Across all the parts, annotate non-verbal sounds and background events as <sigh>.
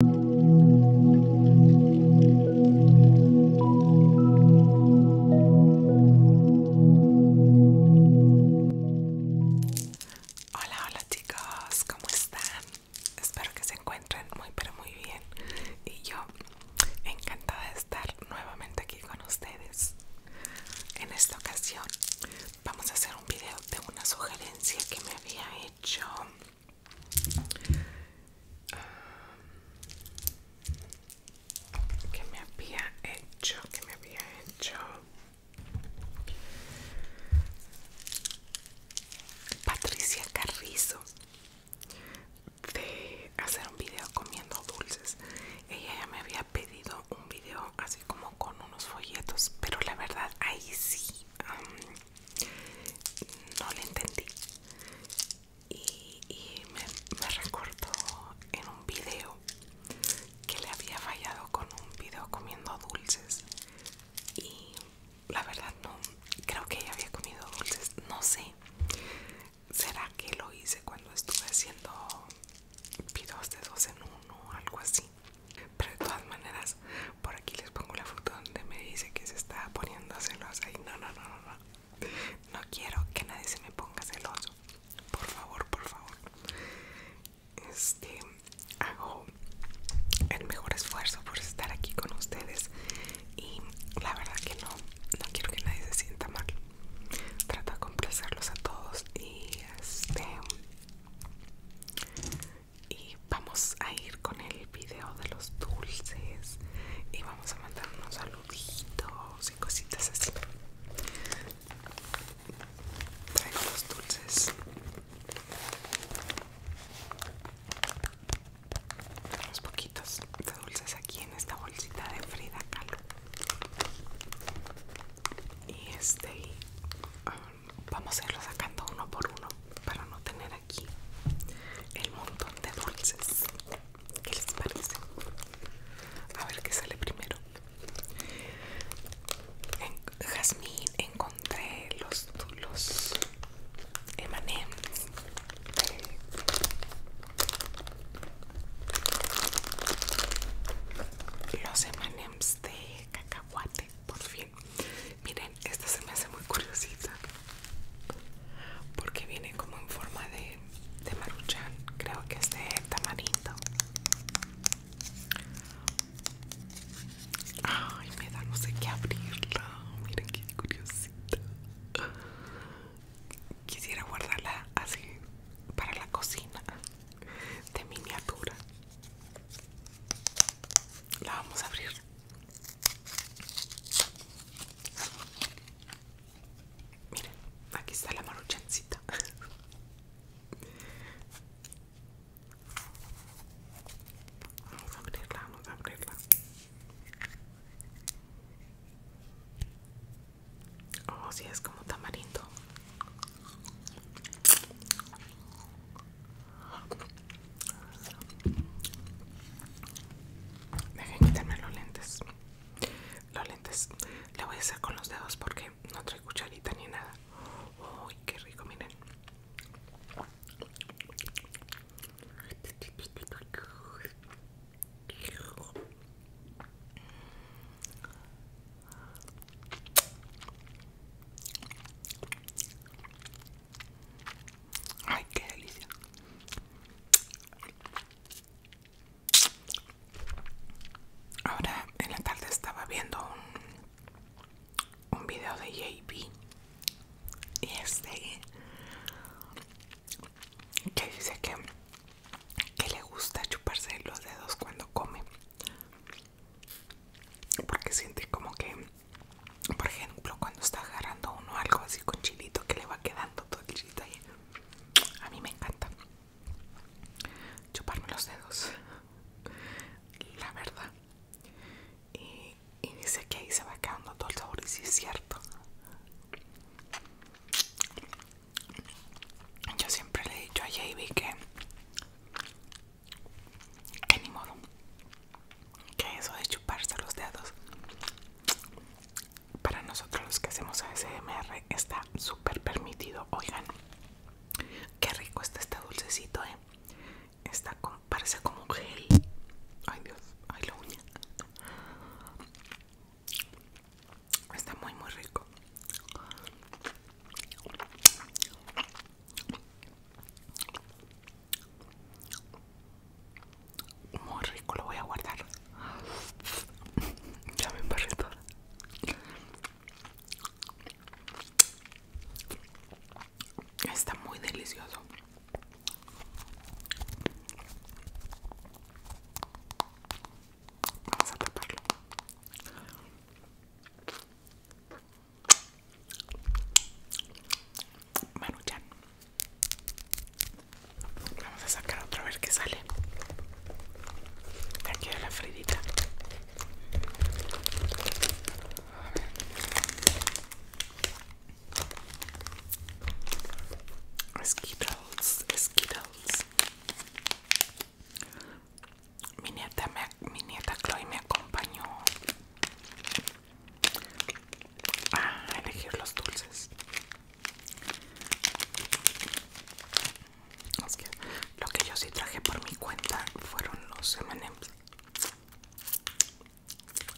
Hola, hola chicos, ¿cómo están? Espero que se encuentren muy pero muy bien y yo encantada de estar nuevamente aquí con ustedes. En esta ocasión vamos a hacer un video de una sugerencia que me había hecho que me había hecho que me había hecho Patricia Carrizo de hacer un video comiendo dulces ella ya me había pedido un video así como con unos folletos pero la verdad ahí sí no le entendí y, me, me recordó en un video que le había fallado con un video comiendo dulces y la verdad no creo que ella había comido dulces no sé será que lo hice cuando estuve haciendo videos de dos en uno o algo así pero de todas maneras, por aquí les pongo la foto donde me dice que se está poniendo celosa. Y no, no, no, no, no. No quiero que nadie se me ponga celoso. Por favor, por favor. Este, hago el mejor esfuerzo por estar aquí con ustedes. Y la verdad que no, no quiero que nadie se sienta mal. Trato de complacerlos a todos. Y este y vamos a ir con el video de los dulces y vamos a mandar unos saluditos y cositas así traigo los dulces unos poquitos de dulces aquí en esta bolsita de Frida Kahlo y este ah, vamos a irlo sacando uno por uno para no tener aquí el montón de dulces. ¿Qué les parece? A ver qué sale primero. En Jazmín encontré los Emanems. los Emanems de cacahuate por fin Miren, esta se me hace muy curiosita porque viene como en forma de, de maruchan. Creo que es de tamarindo. Ay, me da no sé qué abrirla. Miren qué curiosita. Quisiera guardarla así para la cocina de miniatura. La vamos a abrir. Miren, aquí está la maruchancita. Vamos a abrirla, vamos a abrirla. Oh, sí, es como tamarindo. Dejen quitarme los lentes. Los lentes le voy a hacer con los dedos porque no trae cucharita ni nada. Uy, qué rico, miren. Ay, qué delicia. Ahora en la tarde estaba viendo un, un video de JB y este que dice que, que le gusta chuparse los dedos cuando come porque siente como que por ejemplo cuando está agarrando uno algo así con chilito que le va quedando todo el chilito ahí a mí me encanta chuparme los dedos la verdad y, dice que ahí se va quedando todo el sabor y sí es cierto yo siempre le he dicho a Javi que que ni modo que eso de chuparse los dedos para nosotros los que hacemos ASMR está súper permitido oigan qué rico está este dulcecito eh está parece como gel ay dios ay la uña está muy muy rico muy rico, lo voy a guardar. <laughs> Ya me embarré toda. Está muy delicioso. Vamos a taparlo ya, Vamos a sacar otra vez que sale. De aquí la Fridita. A ver mi nieta, mi nieta Chloe me acompañó a elegir los dulces. lo que yo sí traje por mi cuenta fueron los M&M's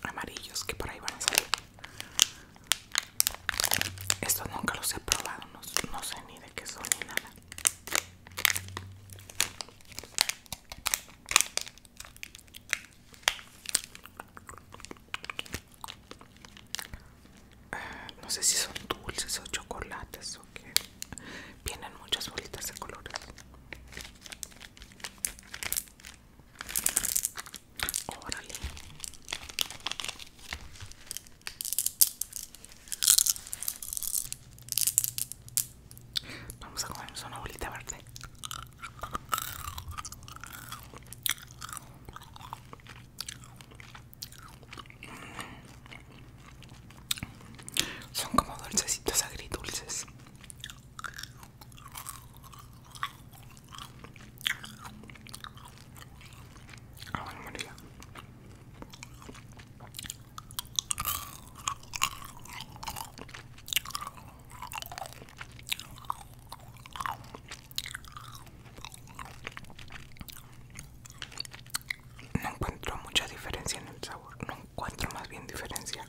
amarillos que por ahí van a salir. Estos nunca los he probado, no, no sé ni de qué son ni nada no sé si son dulces o chocolates o qué. Vienen muchas bolitas de colores. Órale. Vamos a comernos una bolita verde. Mm. Son como dulcecitos agridulces. dulces ah, no encuentro mucha diferencia en el sabor, no encuentro más bien diferencia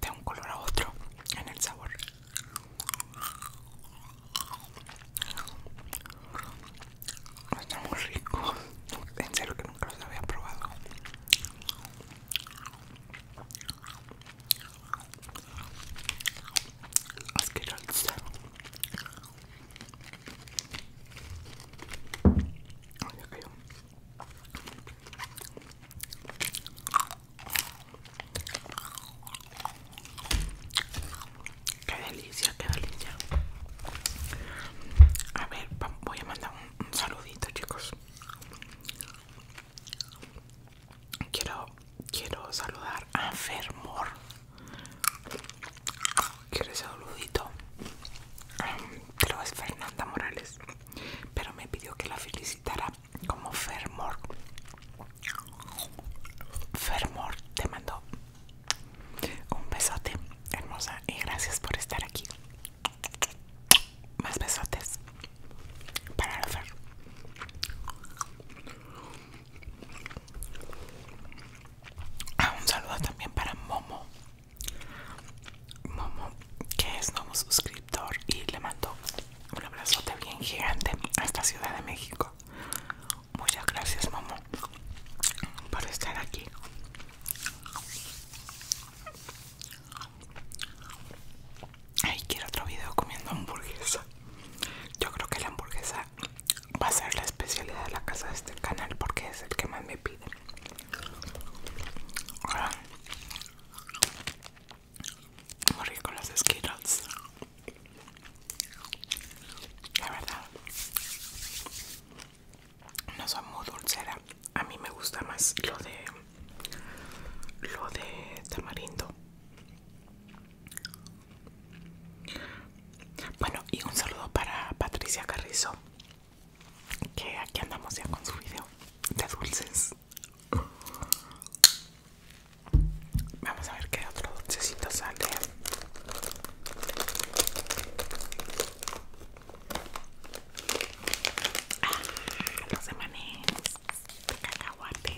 de un color a otro en el sabor. Está muy rico. En serio que nunca los había probado. Asqueroso. Ay, ya cayó. Qué delicia ya quedado limpia A ver, voy a mandar un, saludito, chicos. Quiero, quiero saludar a Fermor. Quiero ese saludito. Um, pero es Fernanda Morales. Pero me pidió que la felicitara como Fermor. Fermor, te mando un besote, hermosa, y gracias por estar aquí. Más besotes para hacer. Ah, un saludo también para Momo. Momo, que es nuevo suscriptor y le mando un abrazote bien gigante a esta Ciudad de México. Muchas gracias, Momo, por estar aquí. Ay, quiero otro video comiendo hamburguesa. Yo creo que la hamburguesa va a ser la especialidad de la casa de este canal porque es el que más me piden. Muy con los Skittles. La verdad no soy muy dulcera. A mí me gusta más lo de lo de tamarindo. Bueno, y un saludo para Patricia Carrizo, que aquí andamos ya con su video de dulces. Vamos a ver qué otro dulcecito sale. ah, rasa manis cacahuate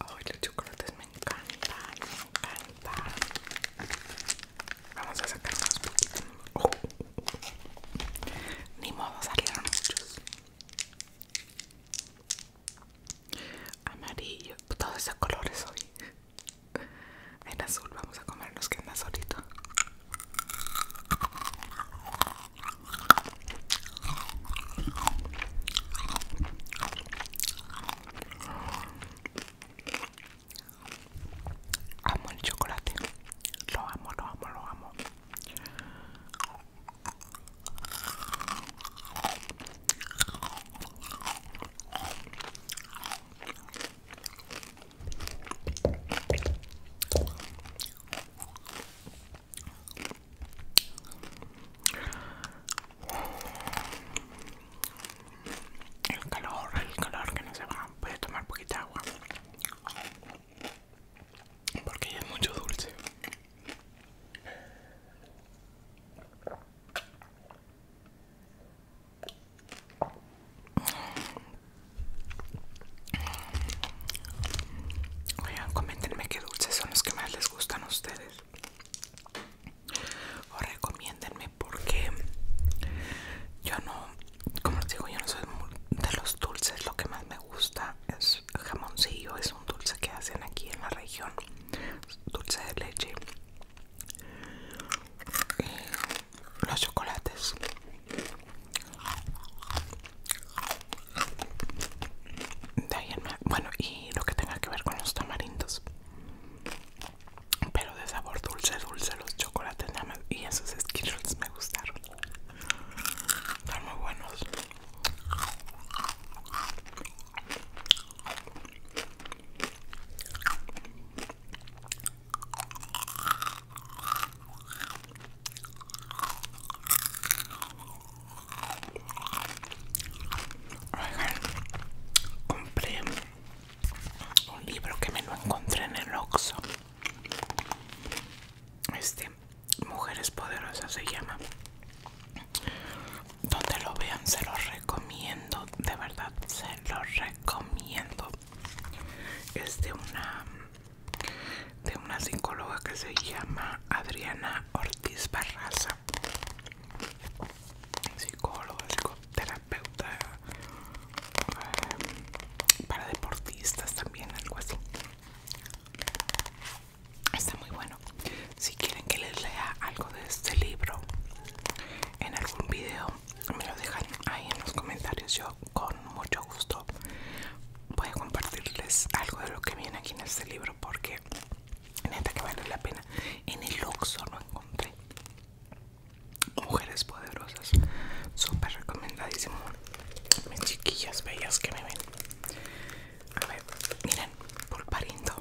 oh los chocolates me encantan me encantan vamos a sacar unos poquitos oh. ni modo salieron muchos amarillo, todos esos colores hoy. En azul vamos a comer los que andan solito. Amo el chocolate, lo amo, lo amo, lo amo. El calor, el calor que no se va. Voy a tomar poquita agua porque ya es mucho dulce. Oigan, comentenme qué dulces son los que más les gustan a ustedes. O recomiéndenme porque yo no, como les digo, yo no soy de los dulces, lo que más me gusta es jamoncillo, es un dulce que hacen aquí en la región, dulce de leche. los chocolates. bueno, y lo que tenga que ver con los tamarindos. Pero de sabor dulce, dulce los chocolates Y esos Skittles me gustaron. Están muy buenos. compré un libro que me lo encontré en el Oxxo. Este Mujeres Poderosas se llama. Donde lo vean, se lo recomiendo. De verdad, se lo recomiendo. Es de una de una psicóloga que se llama Adriana Ortiz Barraza. Psicóloga, psicoterapeuta. Eh, para deportistas también, algo así. Está muy bueno. Si quieren que les lea algo de este libro en algún video, me lo dejan ahí en los comentarios. Yo con mucho gusto voy a compartirles algo de lo que viene aquí en este libro porque neta que vale la pena. En el Luxo no encontré. Mujeres poderosas, súper recomendadísimo mis chiquillas bellas que me ven. A ver, miren, pulparindo.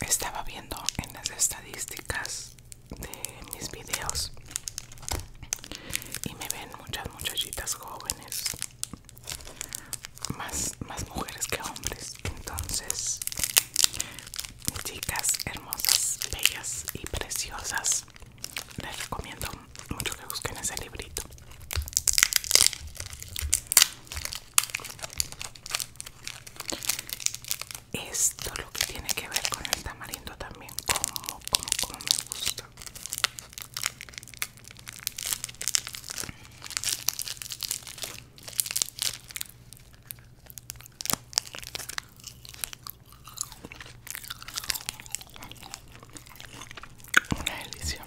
Estaba viendo en las estadísticas de mis videos y me ven muchas muchachitas jóvenes, más, más mujeres que hombres. Entonces, chicas hermosas, bellas y preciosas, les recomiendo mucho que busquen ese librito esto lo que tiene que ver con el tamarindo también como como como me gusta una delicia.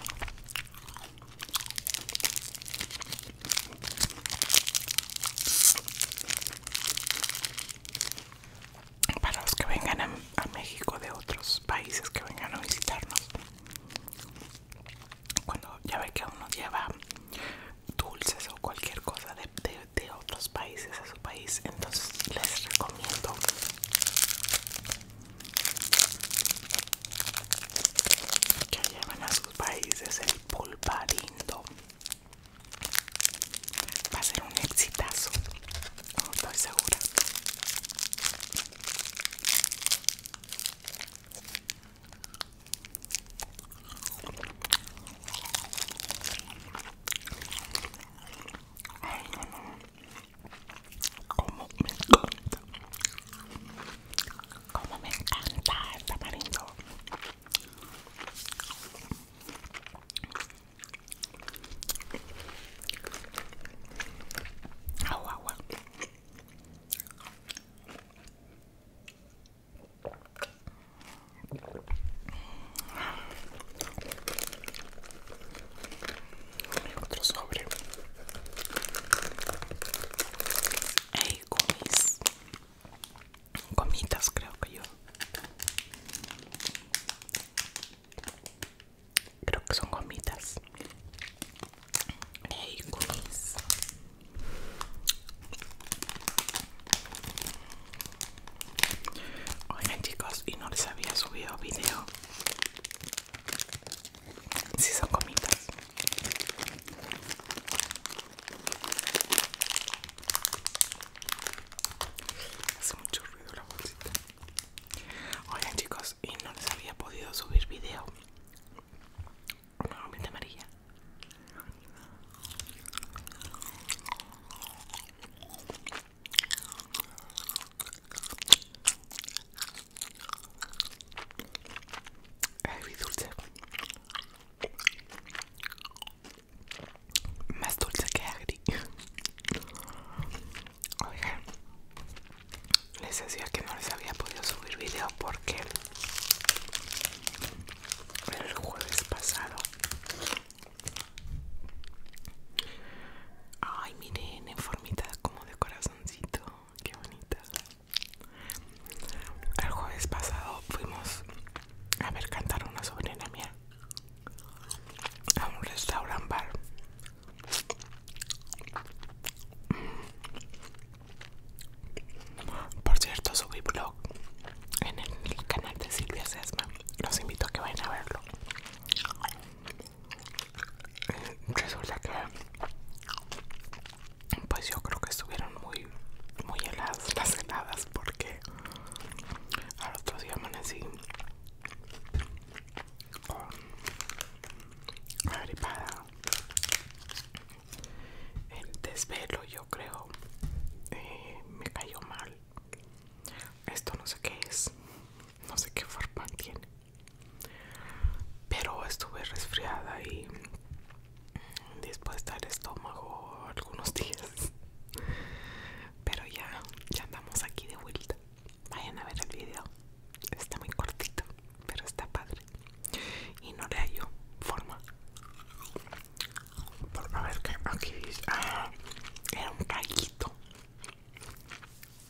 Para los que vengan a, México de otros países que vengan a visitarnos, cuando ya ve que uno lleva dulces o cualquier cosa de de otros países a su país entonces les recomiendo que lleven a sus países el pulparindo va a ser un exitazo estoy segura Ay, Como me encanta. Como me encanta el au, au! Otro sobre. Hey, gomis. Gomitas, creo que yo. Creo que son gomitas. Hey, gomis. Oigan chicos, y no les había subido video si son comitas hace mucho ruido la bolsita oigan chicos y no les había podido subir video una gomita amarilla Agri dulce. Más dulce que agri. Oigan, les decía que no les había podido subir video porque el jueves pasado Ay, miren, en formita como de corazoncito. Qué bonita. El jueves pasado fuimos a ver cantar una sobrina mía a un restaurant bar. Por cierto, subí blog en el canal de Silvia Sesma. Los invito a que vayan a verlo. Resulta que pues yo creo que estuvieron muy muy heladas las heladas porque al otro día así con agripada el desvelo yo creo eh, me cayó mal esto no sé qué es, no sé qué forma tiene. Pero estuve resfriada y después dispuesta al estómago algunos <laughs> días. Pero ya, ya andamos aquí de vuelta. Vayan a ver el video. Está muy cortito, pero está padre. Y no le hallo forma. A ver que aquí ah, era un rayito.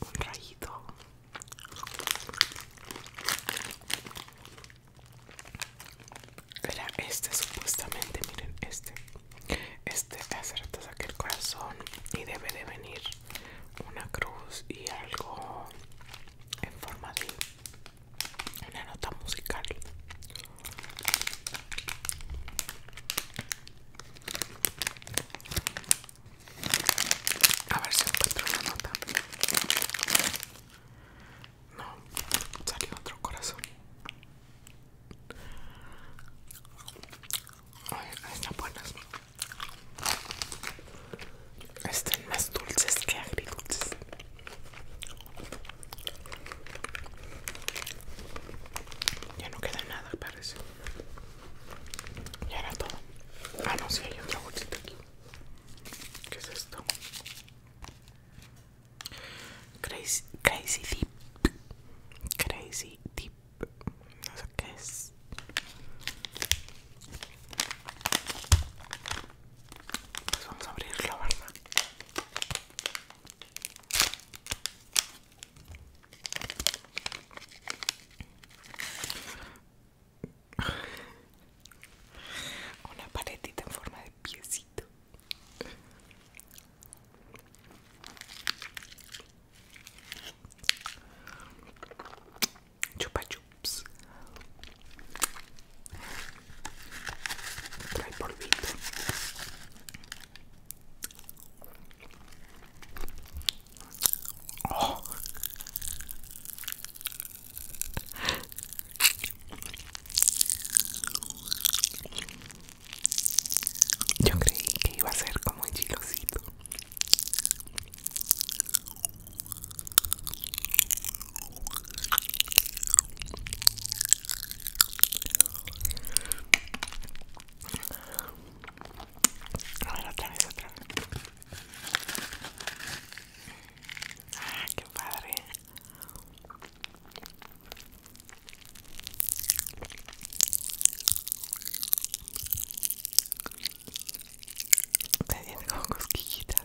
Un rayito. Era este supuestamente, miren, este. Este hace rato el corazón y debe de venir una cruz y algo en forma de una nota musical a ver si encuentro una nota. No, salió otro corazón. ay están buenas. Están más dulces que agridulces. Ya no queda nada, parece. Ya era todo. Ah, no, si hay otra bolsita aquí. ¿Qué es esto? Crazy, crazy Deep. Crazy Deep. No sé qué es. Pues vamos a abrirlo, ¿verdad? Una paletita en forma de piecito. Chupa chups trae polvito oh. yo creí que iba a ser como el chilosito a ver, otra vez, otra vez. Ah, qué padre. Te como cosquillitas.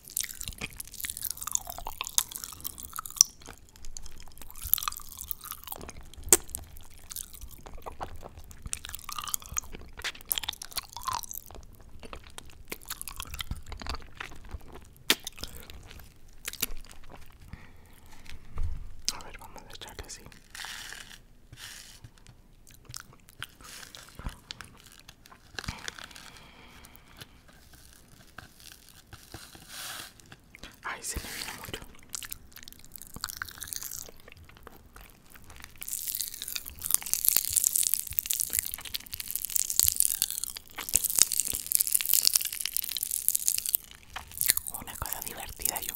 A ver, vamos a echarle así. Ay, se me ve mucho. Una cosa divertida yo.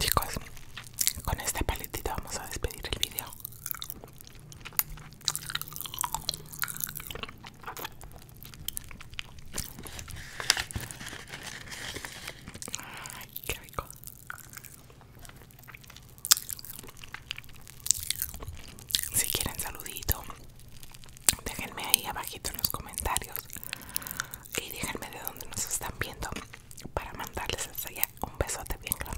Chicos, con esta paletita vamos a despedir el video. Ay, qué rico. Si quieren saludito déjenme ahí abajito en los comentarios y déjenme de dónde nos están viendo para mandarles hasta allá un besote bien grande.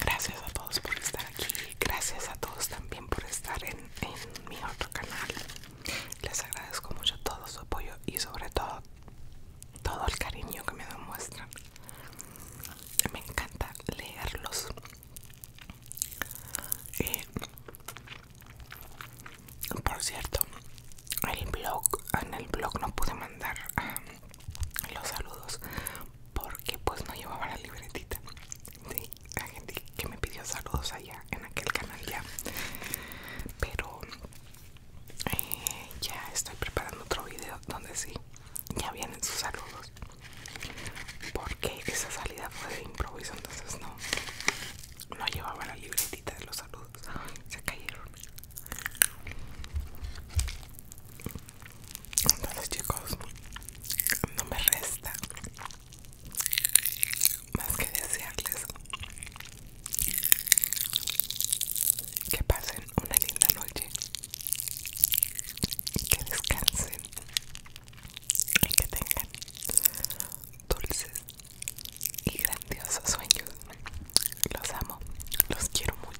gracias a todos por estar aquí gracias a todos también por estar en, en mi otro canal les agradezco mucho todo su apoyo y sobre todo todo el cariño que me demuestran me encanta leerlos por cierto, el blog, en el blog no pude mandar ah, los saludos porque pues no llevaba la libretita de la gente que me pidió saludos allá en aquel canal ya. Pero eh, ya estoy preparando otro video donde sí, ya vienen sus saludos porque esa salida fue de improviso entonces no no llevaba la libretita de los saludos se cayeron entonces chicos no me resta más que desearles que pasen una linda noche que descansen y que tengan dulces y grandiosos sueños. Los amo, los quiero mucho.